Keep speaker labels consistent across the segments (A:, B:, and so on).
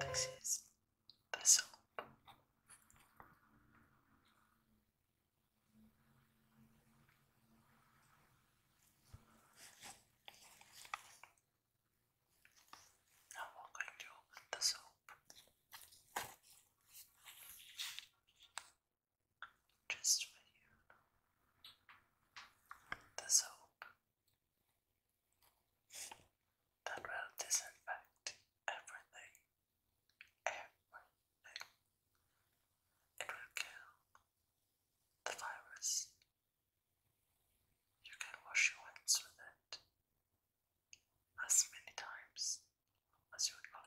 A: This is the soap. Now we're going to the soap just for you. The soap that will disinfect everything. Everything. It will kill the virus. You can wash your hands with it as many times as you would like.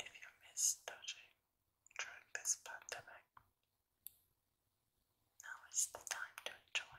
A: If you miss dodging during this pandemic, now is the time to enjoy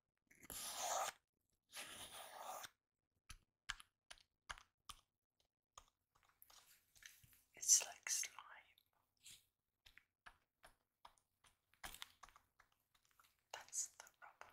A: It's like slime. That's the rubber.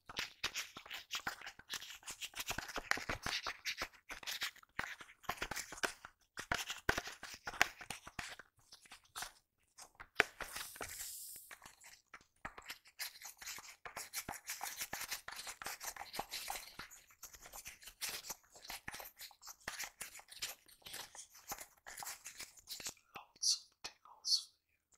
A: Lots of tingles for you.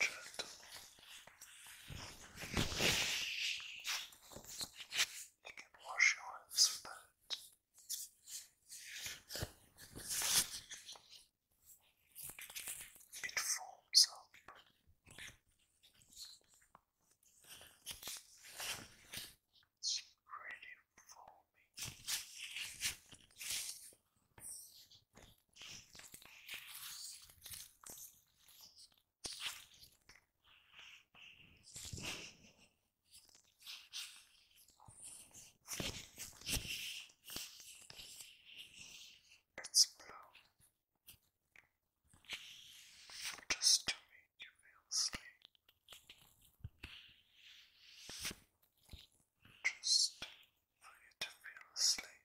A: certo you can wash your hands with that it forms up it's really foamy it's blue. Just to make you feel asleep. Just for you to feel asleep.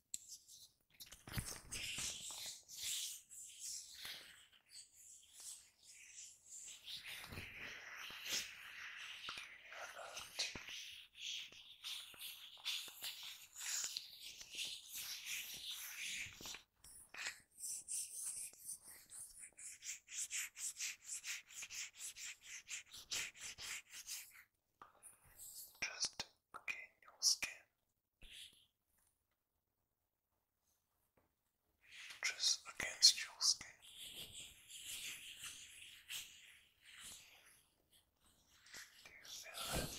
A: Just clean your skin just against your skin. Do you feel it?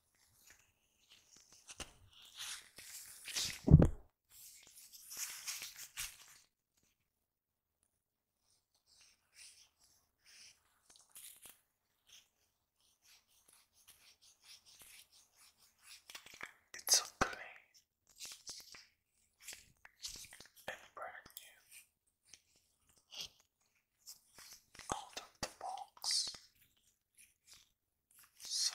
A: It's so clean and brand new out of the
B: box. So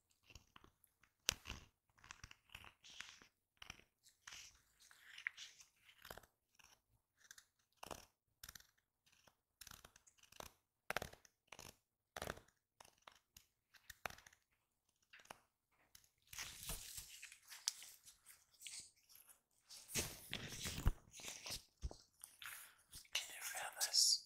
A: you the realms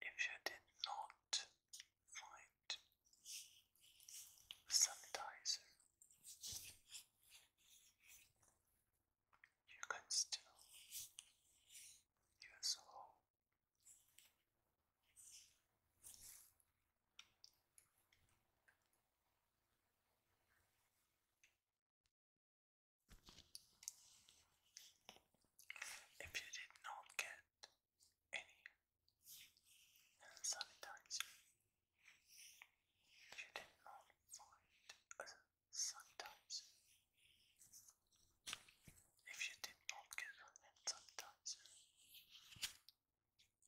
A: If you did not find sanitizer, you can still use whole if you did not get any sanitizer, you did not find a If you did not get a hand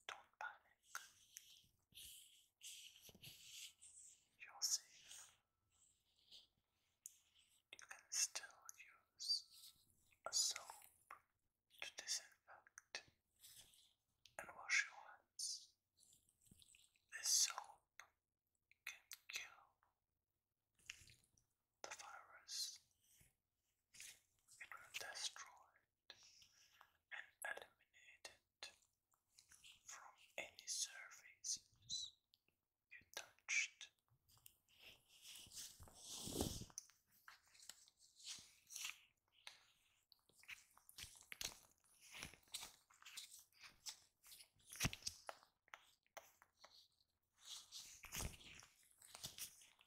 A: don't panic. You're safe. You can still use a soap to disinfect and wash your hands. This soap can kill the virus. It will destroy and eliminated from any surfaces you touched.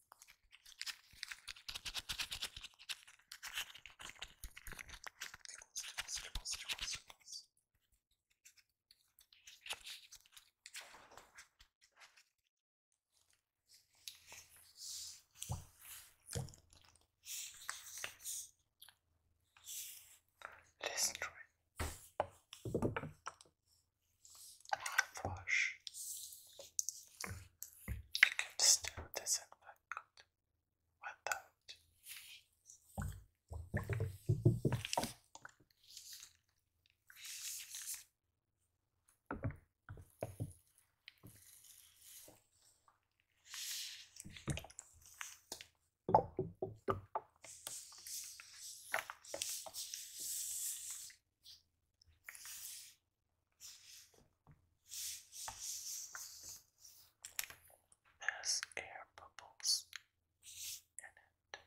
A: Tickles, tickles, tickles, tickles. Listen to it. Flush. I could still disinfect without has air bubbles in it.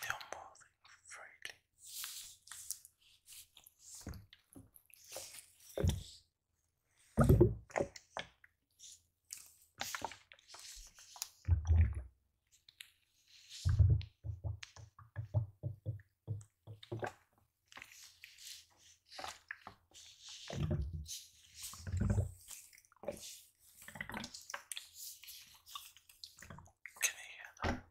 A: They're moving freely can you hear that?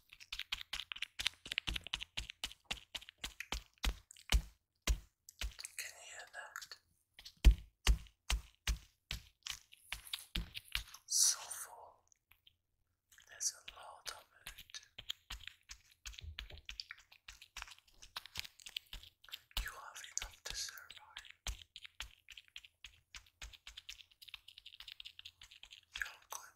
A: Can you hear that? Soulful. There's a lot of it. You have enough to survive. You're good.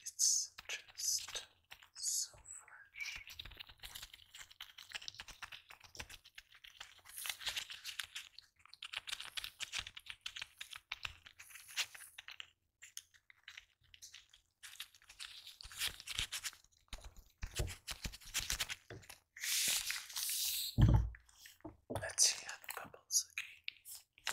A: It's just so fresh. Let's see how the bubbles again.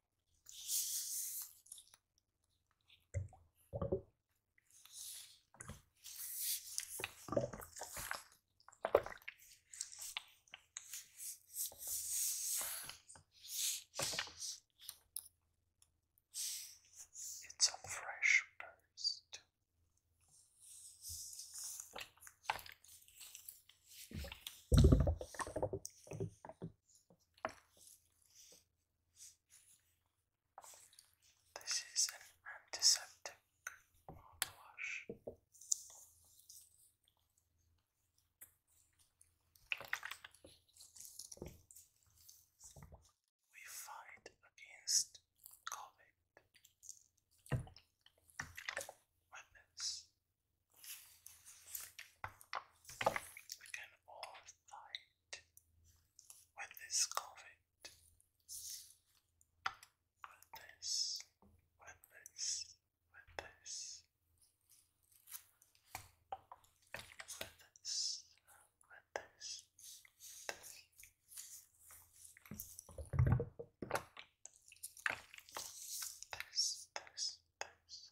A: It's a fresh burst. This is an antiseptic mouthwash. We fight against COVID with we can all fight with this COVID, with this, with this, with this, with this, with this, This, this, this,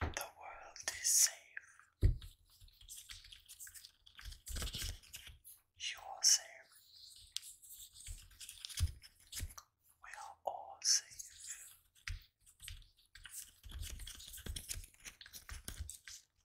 B: The world is safe. You are safe. We are all safe.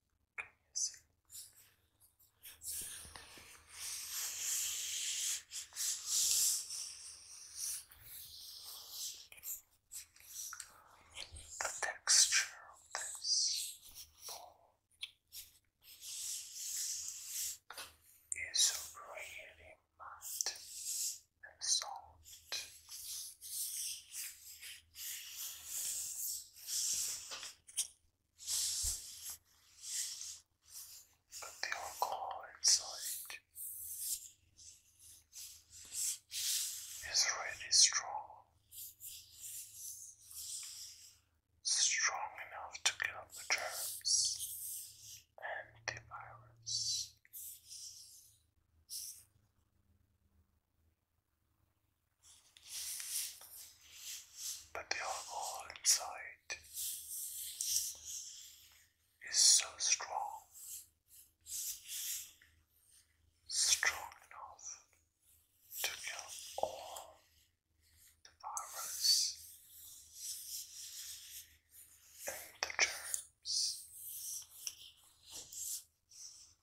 B: Yes. The texture of this ball is
A: really matte and soft. But the alcohol inside is really strong, strong enough to kill the germs and the virus. But the alcohol inside is so strong, strong enough to kill all the virus and the germs.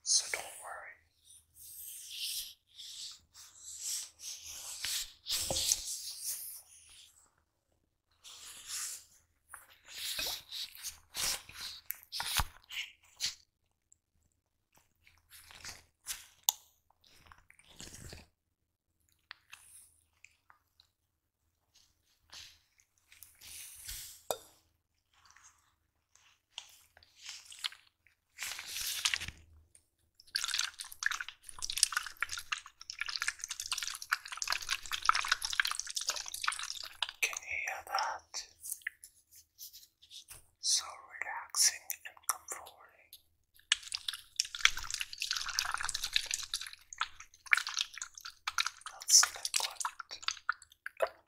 A: So don't worry. Can you hear that? So relaxing and comforting. That's liquid.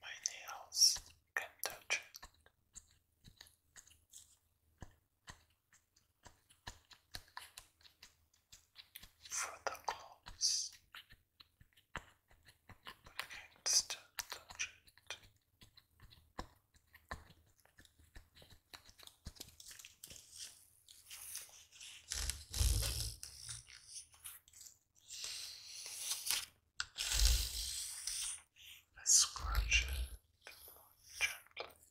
A: My nails can touch it for the claws against the jet. I scratch it gently.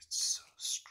A: It's so strong.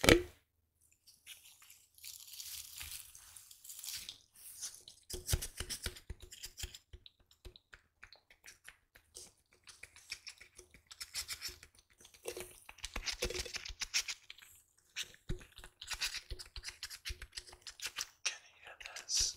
A: Can you hear this?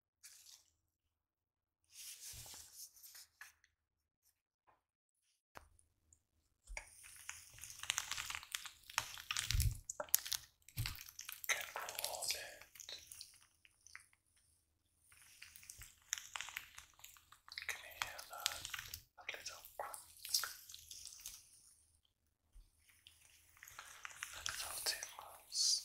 A: Can roll it. Can you hear that? A little crunk. A little tingles.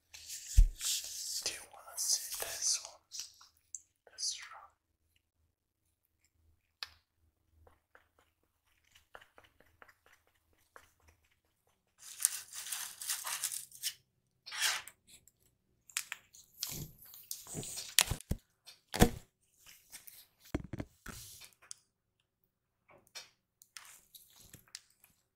A: Do you wanna see this one? This drum.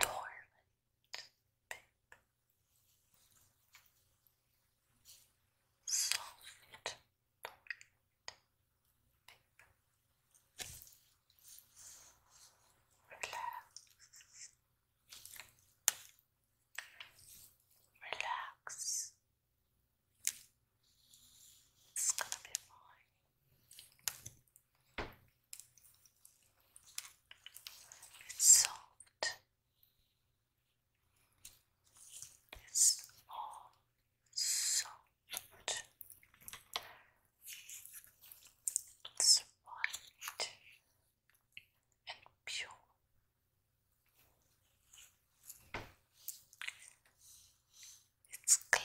A: Dormant, babe. Soft, Relax. Relax. It's gonna be fine. It's soft. It's all soft. It's white and pure. It's clean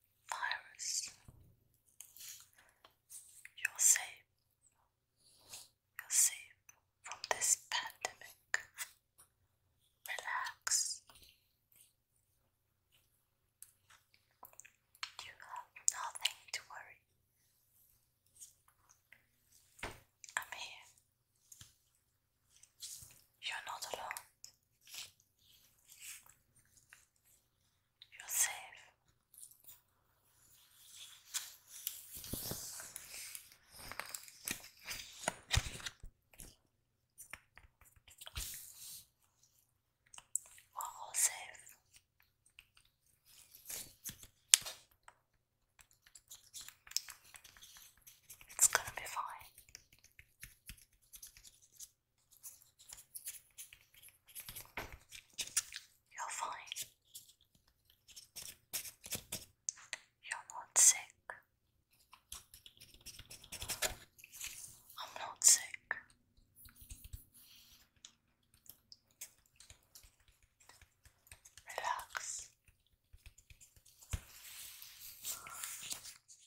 A: virus. You're safe. You're safe from this pandemic. Relax. You have nothing to worry. I'm here. You're not alone. You're safe. We're safe. It's gonna be fine. You're fine. You're not sick. I'm not sick. Relax.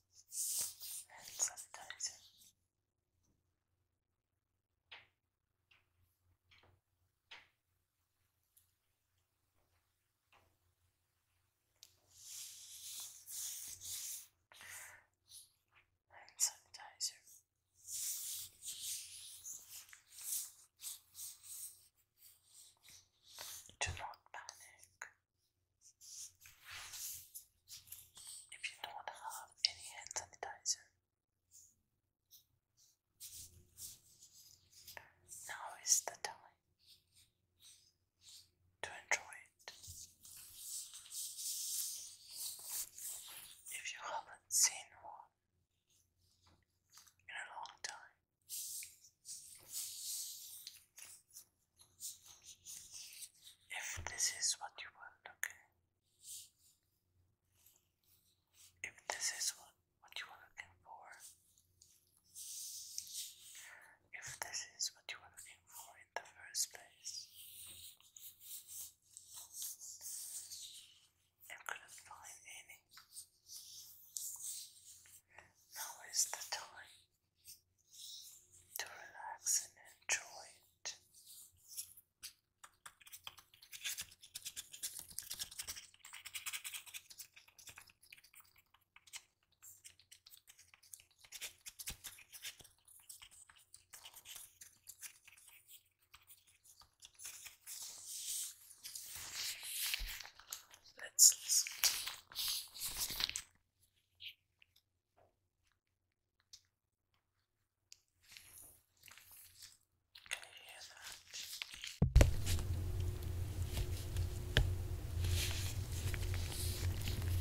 A: hand sanitizer. Hand sanitizer. Do not panic. If you don't have any hand sanitizer, now is the time to enjoy it. If you haven't seen one in a long time, if this is what you want, okay? If this is what, what you are looking for, if this is what you are looking for in the first place, and couldn't find any, now is the time to relax and enjoy it. Let's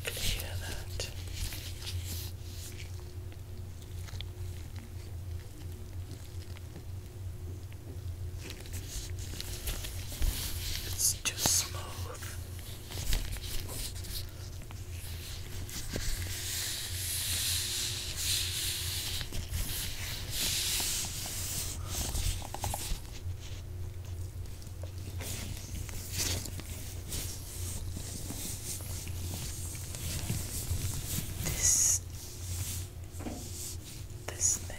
B: can you hear that? Can you hear that? It's too smooth.
A: This this thing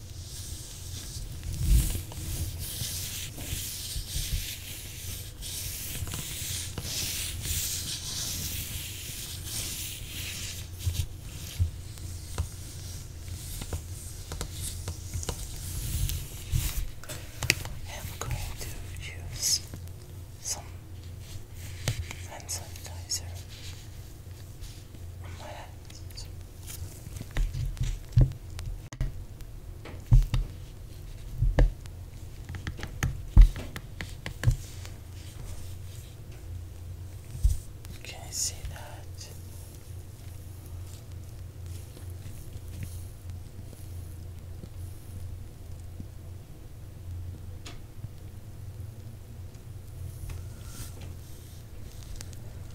A: I'm going to use some sanitizer on my hands. Can I see that?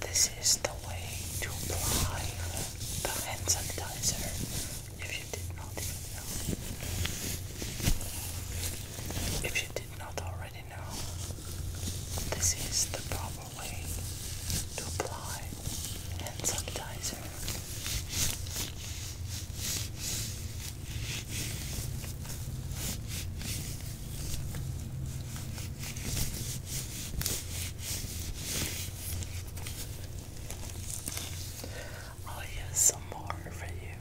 A: This is the way to apply the hand sanitizer if you did not know. If you not already know, this is the proper way to apply hand sanitizer. I'll use some more for you.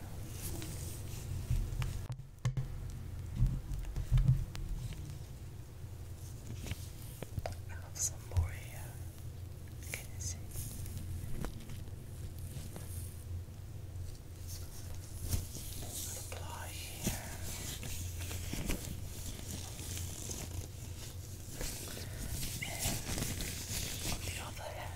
A: I have some more here. Can you see? Apply here. And on the other hand,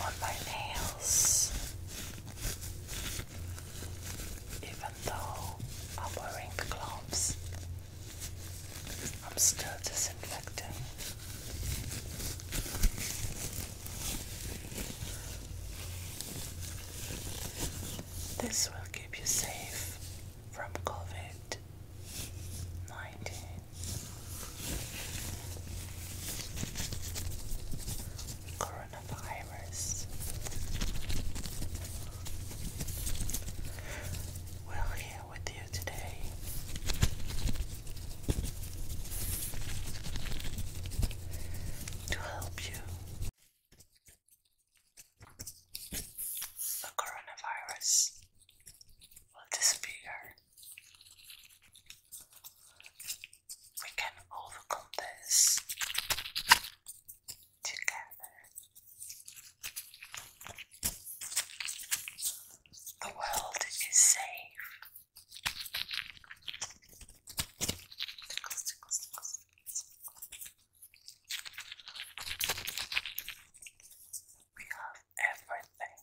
A: on my nails, even though
B: I'm wearing gloves, I'm still disinfecting.
A: This will keep you safe from COVID 19. Coronavirus We're here with you today. To help you, the coronavirus will disappear we can overcome this together. The world is safe. We have everything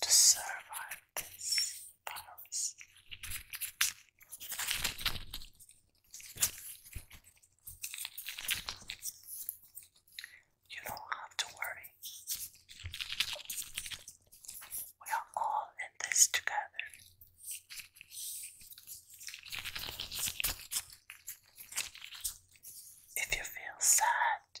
A: to survive this virus. You don't have to worry. We are all in this together. If you feel sad,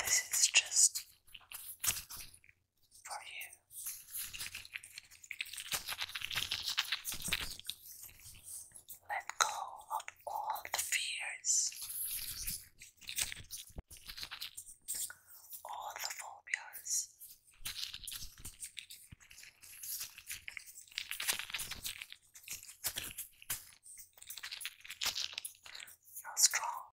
A: This is just for you. Let go of all the fears, all the phobias.
B: You're strong.